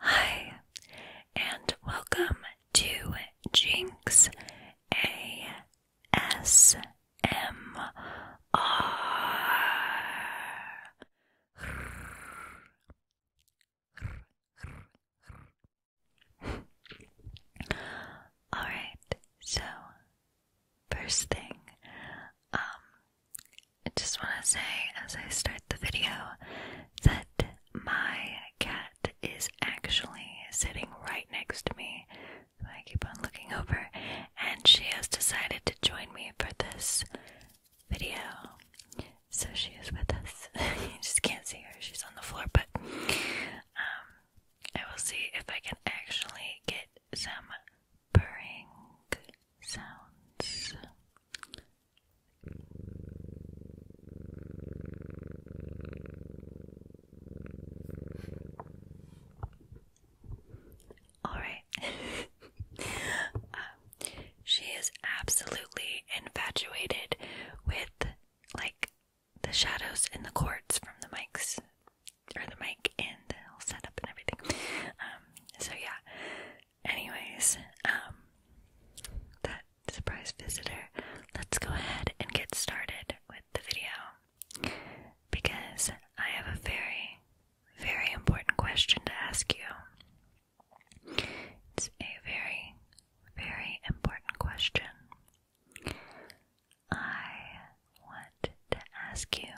Hi, and welcome to Jinx ASMR. All right, so First thing, um, I just want to say as I start the video that my cat is actually sitting right next to me. I keep on looking over, and she has decided to join me for this video. So she is with us. you just can't see her, she's on the floor, but um, I will see if I can actually get some purring sounds. All right. Um, she is absolutely infatuated with like the shadows in the cords from the mics or the mic and the whole setup and everything. Um, so yeah. Anyways, um, that surprise visitor. Let's go ahead and get started with the video because I have a very, very important question to ask you. It's a very, very important question. I want to ask you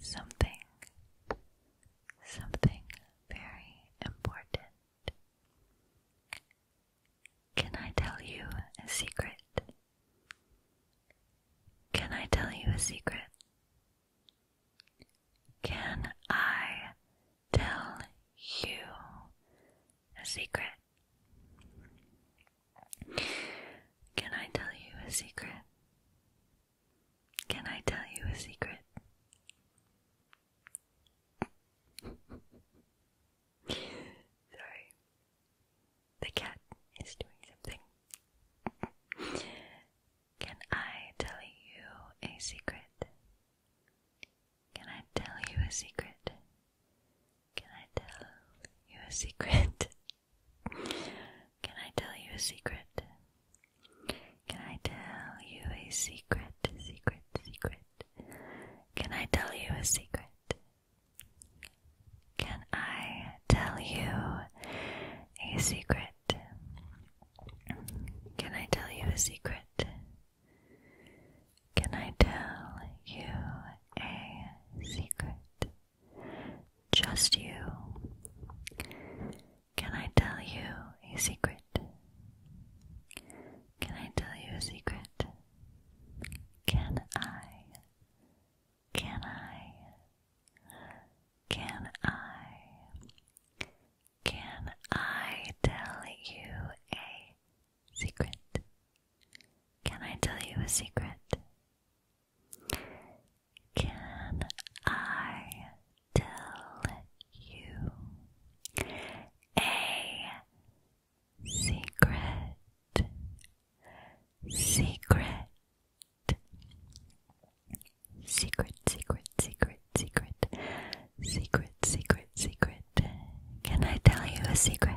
something, something very important. Can I tell you a secret? Can I tell you a secret? Can I tell you a secret? Can I tell you a secret? Can I tell you a secret? Sorry. The cat is doing something. Can I tell you a secret? Can I tell you a secret? Can I tell you a secret? Can I tell you a secret? Can I tell you a secret? Secret, secret. Can I tell you a secret? Can I tell you a secret? Can I tell you a secret? Can I tell you a secret? Just you. Can I tell you a secret? Can I tell you a secret? Can I? Can I? Can I? Can I tell you a secret? Can I tell you a secret? Can I tell you a secret? Secret. Secret, secret, secret, secret, secret, secret, Can I tell you a secret?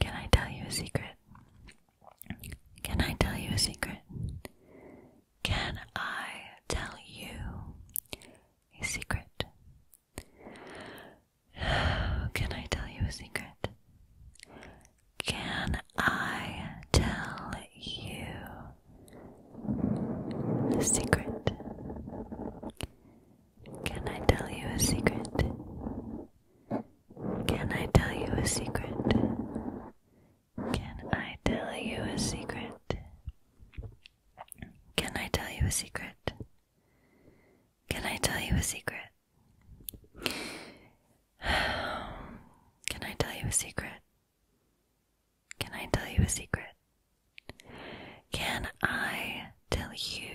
Can I tell you a secret? Can I tell you a secret? Can I tell you a secret? Can I tell you a secret? Can I tell you a secret? Can I tell you a secret? Can I tell you a secret? Can I tell you a secret? Can I tell you a secret? Can I tell you a secret? Can I tell you a secret? Can I tell you a secret? Can I tell you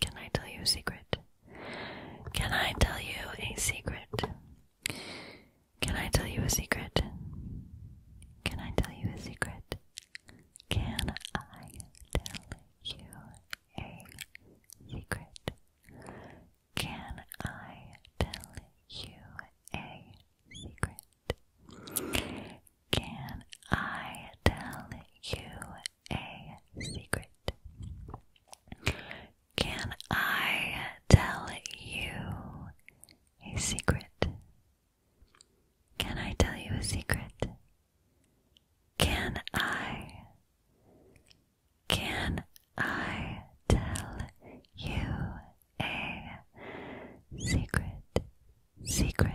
Can I tell you a secret? Can I tell you a secret? Can I tell you a secret? Can I tell you a secret? Can I tell you a secret? Can I tell you a secret? Can I tell you a secret? Can I tell you a secret? Can I tell you a secret? Can I? Can I tell you a secret? Secret,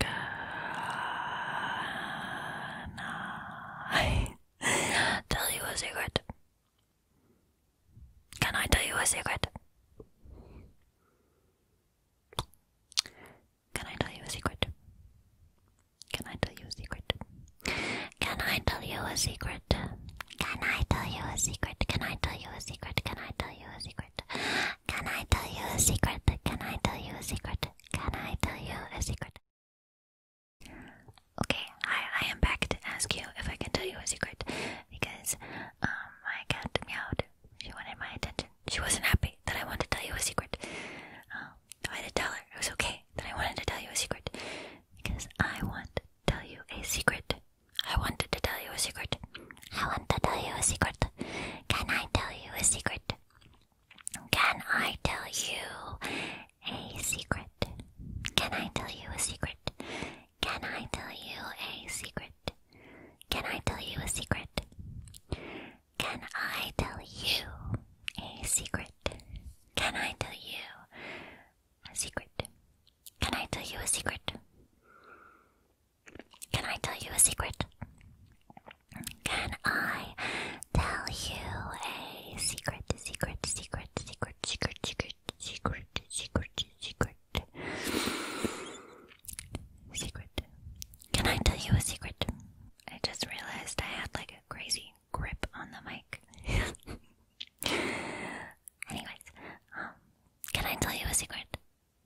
Can I tell you a secret? Can I tell you a secret? Can I tell you a secret? Can I tell you a secret? Can I tell you a secret? Can I tell you a secret? Can I tell you a secret? Can I tell you a secret? Can I tell you a secret? Can I tell you a secret? Can I tell you a secret? Okay, I I am back to ask you if I can tell you a secret because um I my cat meowed. She wanted my attention. She wasn't happy that I wanted to tell you a secret. Um, I had to tell her it was okay that I wanted to tell you a secret because I want to tell you a secret. I wanted to tell you a secret. I want to tell you a secret. Can I tell you a secret? Can I tell you a secret? Can I tell you a secret? Can I tell you a secret? Can I tell you a secret? Can I tell you a secret? Can I tell you a secret? Can I tell you a secret? Can I tell you a secret? Can I tell you a secret, secret, secret, secret, secret, secret, secret, secret, secret, secret? Can I tell you a secret? I just realized I had like a crazy grip on the mic. Anyways, um, can I tell you a secret?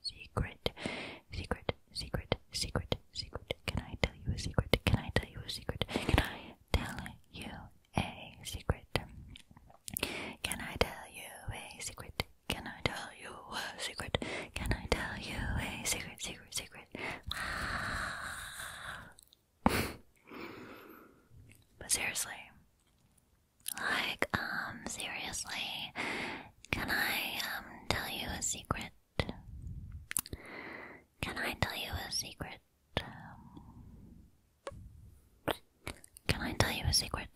secret, secret, secret, secret, secret. Can I tell you a secret? Can I tell you a secret? Can I tell you a secret? Can I tell you a secret? Can I tell you a secret? Can I tell you a secret, secret, secret? but seriously. Like, um, seriously, can I, um, tell you a secret? Can I tell you a secret? Can I tell you a secret?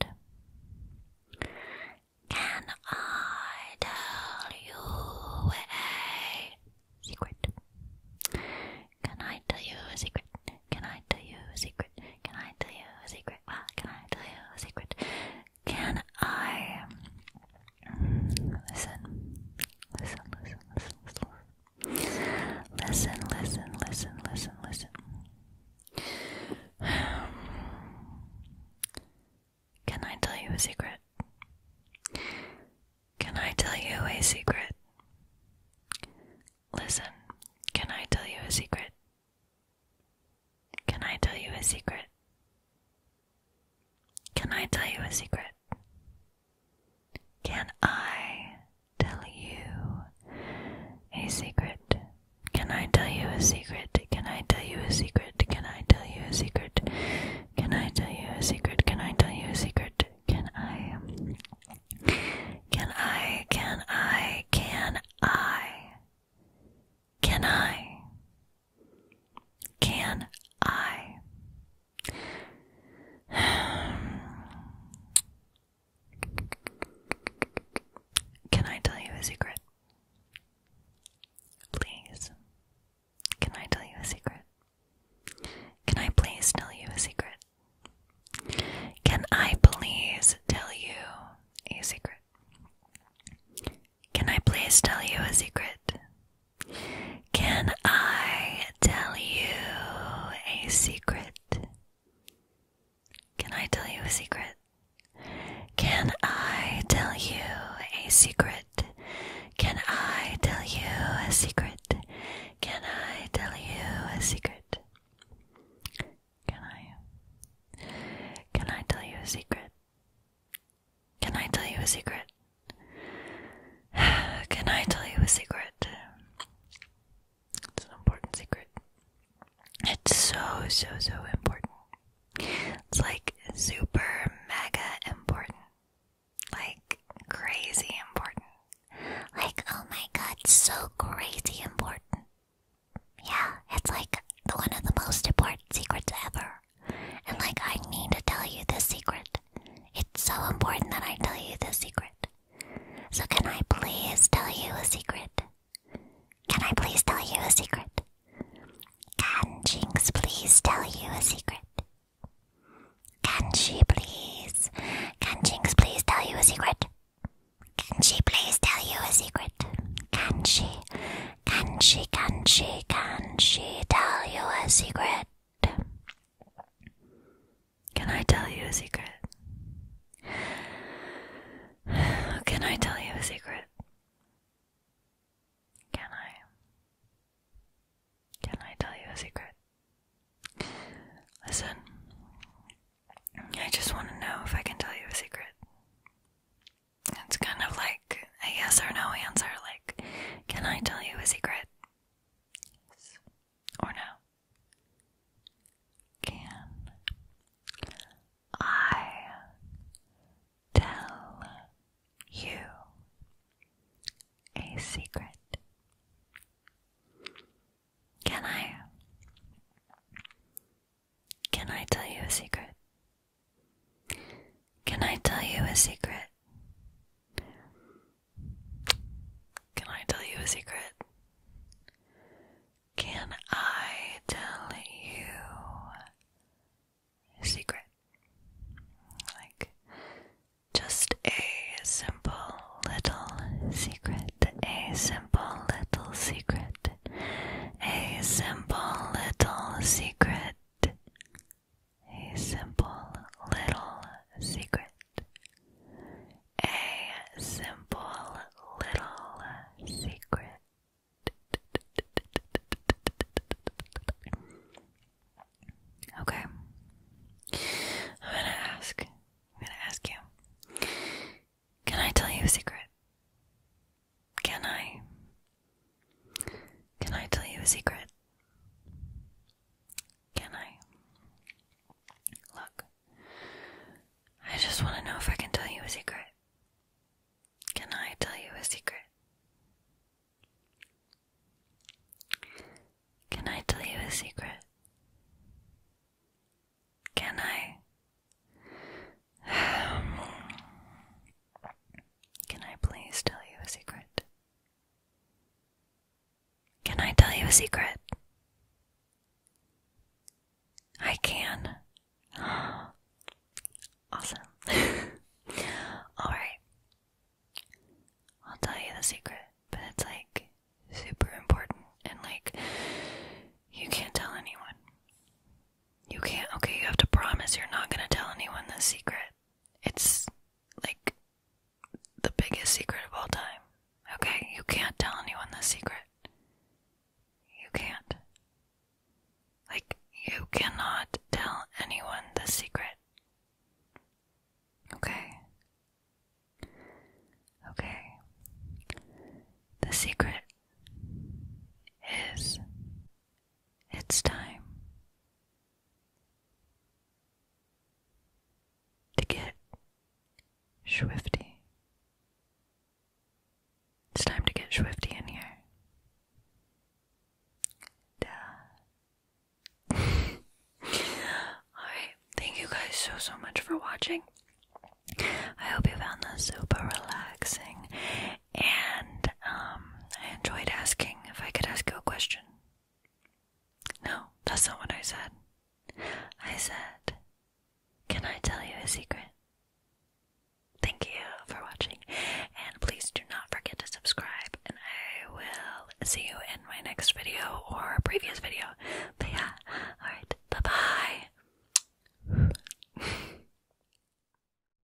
Can I tell you a secret? Can I tell you a secret? Can I tell you a secret? Can I tell you a secret? can I tell you a secret? Can I listen? Listen, listen, listen, listen. Listen, listen, listen, listen, listen. Can I tell you a secret? Can I tell you a secret? Listen, can I tell you a secret? Can I tell you a secret? Can I tell you a secret? Can I tell you a secret? Can I tell you a secret? Can I tell you a secret? Can I tell you a secret? Can I tell you a secret? Can I tell you a secret? Can I? Can I? Can I? Can I? Can I? Can I? Can I tell you a secret? Please. Can I tell you a secret? Can I please tell you a secret? Can I please tell you a secret? Can I please tell you a secret? Can I tell you a secret? Can I tell you a secret? Can I tell you a secret? Can I tell you a secret? Can I tell you a secret? Can I? Can I tell you a secret? Can I tell you a secret? Can I tell you a secret? It's an important secret. It's so, so, so important. It's like super mega important. Like crazy important. Like, oh my god, so crazy important. Yeah, it's like the one of the most important secrets ever. And like, I need to tell you this secret. It's so important that I tell you this secret. So, can I please tell you a secret? Can I please tell you a secret? Can Jinx please tell you a secret? Can she please? Can Jinx please tell you a secret? Can she please tell you a secret? Can she? Can she, can she, can she tell you a secret? Can I tell you a secret? Can I tell you a secret? Can I? Can I tell you a secret? Listen, I just want to know if I can tell you a secret. It's kind of like a yes or no answer, like, can I tell you a secret? Or no? Can I tell you a secret? Can I? Can I tell you a secret? Can I tell you a secret? Can I tell you a secret? Can I tell you a secret? Like just a simple little secret, a simple little secret, a simple little secret a simple little secret. A simple little secret. Okay. I'm gonna ask. I'm gonna ask you. Can I tell you a secret? Can I? Can I tell you a secret? Can I? Look, I just want to know if I can tell you a secret. Can I tell you a secret? Can I tell you a secret? Can I? Can I please tell you a secret? Can I tell you a secret? I can. awesome. Alright. I'll tell you the secret, but it's like super important and like you can't tell anyone. You can't. Okay, you have to promise you're not going to tell anyone this secret. It's like the biggest secret of all time. Okay, you can't tell anyone this secret. You can't. Like, you cannot tell anyone the secret. Okay. Okay. The secret is it's time to get swifty. It's time to get swifty in here. Duh. Thank you guys so so much for watching. I hope you found this super relaxing and um, I enjoyed asking if I could ask you a question. No, that's not what I said. I said, Can I tell you a secret? Thank you for watching, and please do not forget to subscribe. And I will see you in my next video or previous video. But yeah, alright, bye bye.